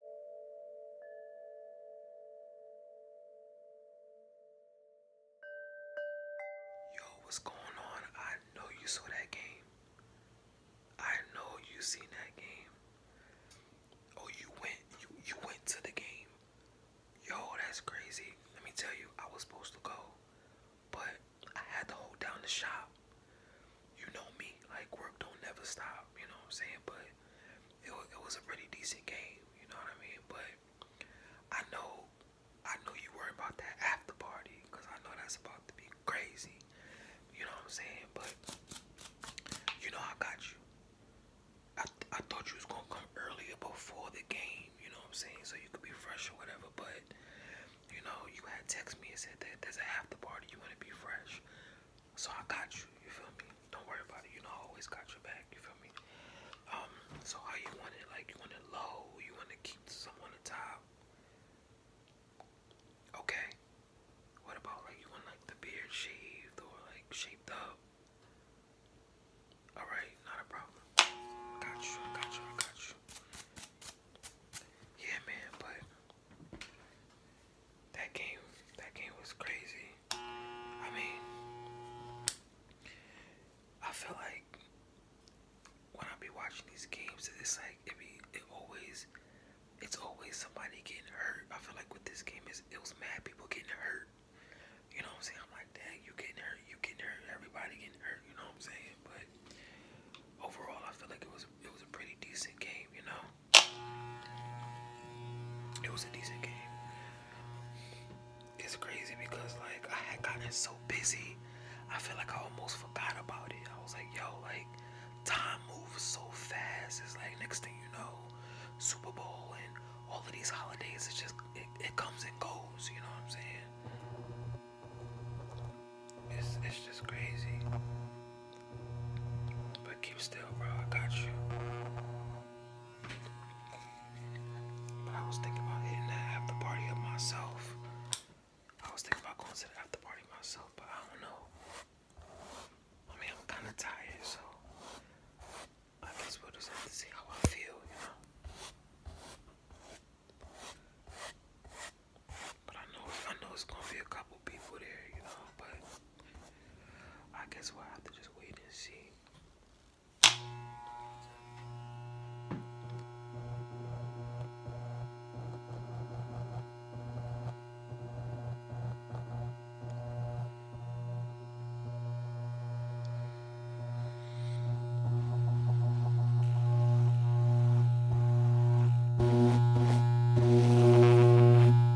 Yo, what's going on? I know you saw that game. I know you seen that game. Oh, you went you went to the game. Yo, that's crazy. Let me tell you, I was supposed to go, but I had to hold down the shop. You know me, like work don't never stop, you know I'm saying? But it, it was a pretty decent game. You know what I mean? But I know, I know you worry about that after party because I know that's about to be crazy. You know what I'm saying? But you know I got you. I I thought you was gonna come earlier before the game. You know what I'm saying? So you could be fresh or whatever. But you know you had text me and said that there's a after party. You wanna be fresh. So I got you, you feel me? Don't worry about it, you know I always got your back, you feel me? Um, so how you want it? Like you want it low, you want to keep some on top. Okay. What about like you want like the beard shaved or like shaped up? Alright, not a problem. Got you, got you, got you. Yeah man, but that game, that game was crazy. I mean, I feel like when I be watching these games, it's like it be it always, it's always somebody getting hurt. I feel like with this game is it was mad people getting hurt. You know what I'm saying? I'm like, dang, you getting hurt, you getting hurt, everybody getting hurt. You know what I'm saying? But overall, I feel like it was it was a pretty decent game. You know, it was a decent game. It's crazy because like I had gotten so busy, I feel like I almost forgot about it. I was like, yo, like time moves so fast. It's like next thing you know, Super Bowl and all of these holidays. It just it, it comes and goes. You know what I'm saying? It's it's just crazy. But keep still, bro. I got you. But I was thinking about hitting that after party of myself. I was thinking about going to the after party myself, but I don't know. I mean, I'm kind of tired, so I guess we'll just have to see how I feel, you know. But I know, I know it's gonna be a couple people there, you know. But I guess we'll have to just wait and see.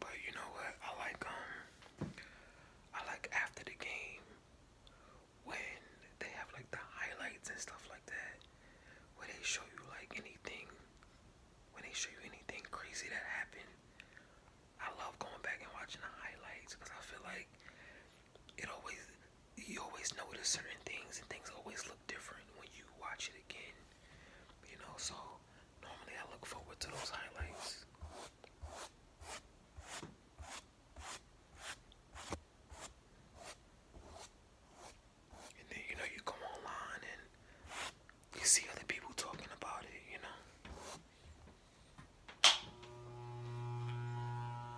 But you know what? I like um I like after the game when they have like the highlights and stuff like that where they show you like anything when they show you anything crazy that happened. I love going back and watching the highlights because I feel like it always you always notice certain things and things always look different when you watch it again. You know, so normally I look forward to those highlights. And then you know you come online and you see other people talking about it, you know.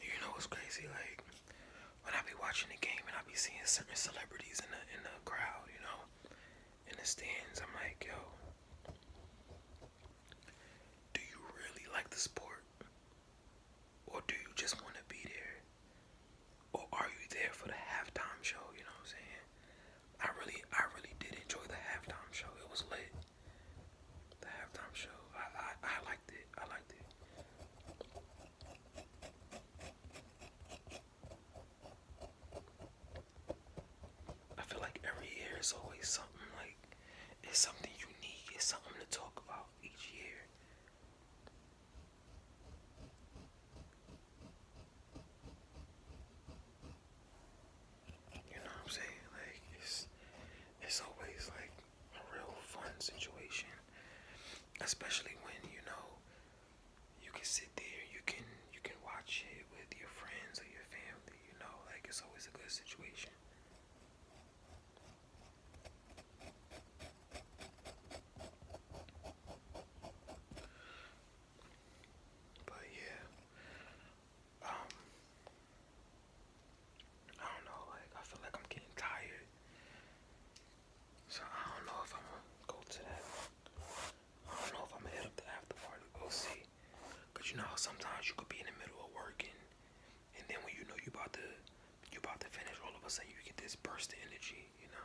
You know what's crazy? Like when I be watching the game and I be seeing certain celebrities in the in the crowd, you know, in the stands, I'm like, yo, do you really like the sport? Or do you just wanna be there? Or are you there for the halftime show, you know what I'm saying? I really I really did enjoy the halftime show. It was lit. The halftime show. I, I I liked it. I liked it. I feel like every year is always something like it's something unique. It's something to talk about each year. You know I'm saying? Like it's it's always like a real fun situation. Especially when, you know, you can sit there, you can you can watch it with your friends or your family, you know, like it's always a good situation. But yeah, um, I don't know, like I feel like I'm getting tired. So I don't know if I'm gonna go to that. I don't know if I'm gonna hit up the after party. We'll see. Cause you know how sometimes you could be in the middle of working, and then when you know you about to you about to finish, all of a sudden you get this burst of energy, you know.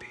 beard.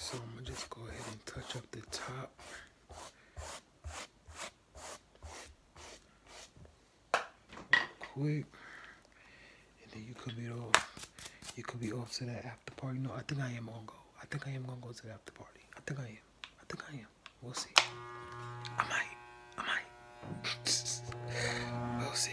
so I'm gonna just go ahead and touch up the top quick. And then you could be off. You could be off to that after party. No, I think I am gonna go. I think I am gonna go to the after party. I think I am. I think I am. We'll see. I might. I might. we'll see.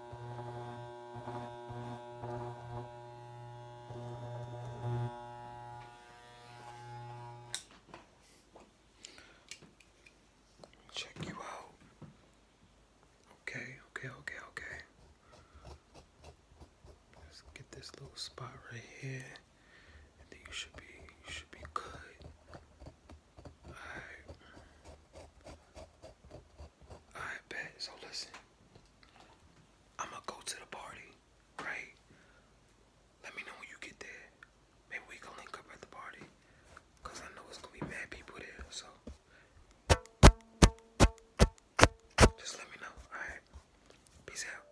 Check you out. Okay, okay, okay, okay. Let's get this little spot right here. And then you should be should be good. Alright. I bet. So listen, I'm gonna go to the party, right? Let me know when you get there. Maybe we can link up at the party, cause I know it's gonna be mad people there. So just let me know. All right. Peace out.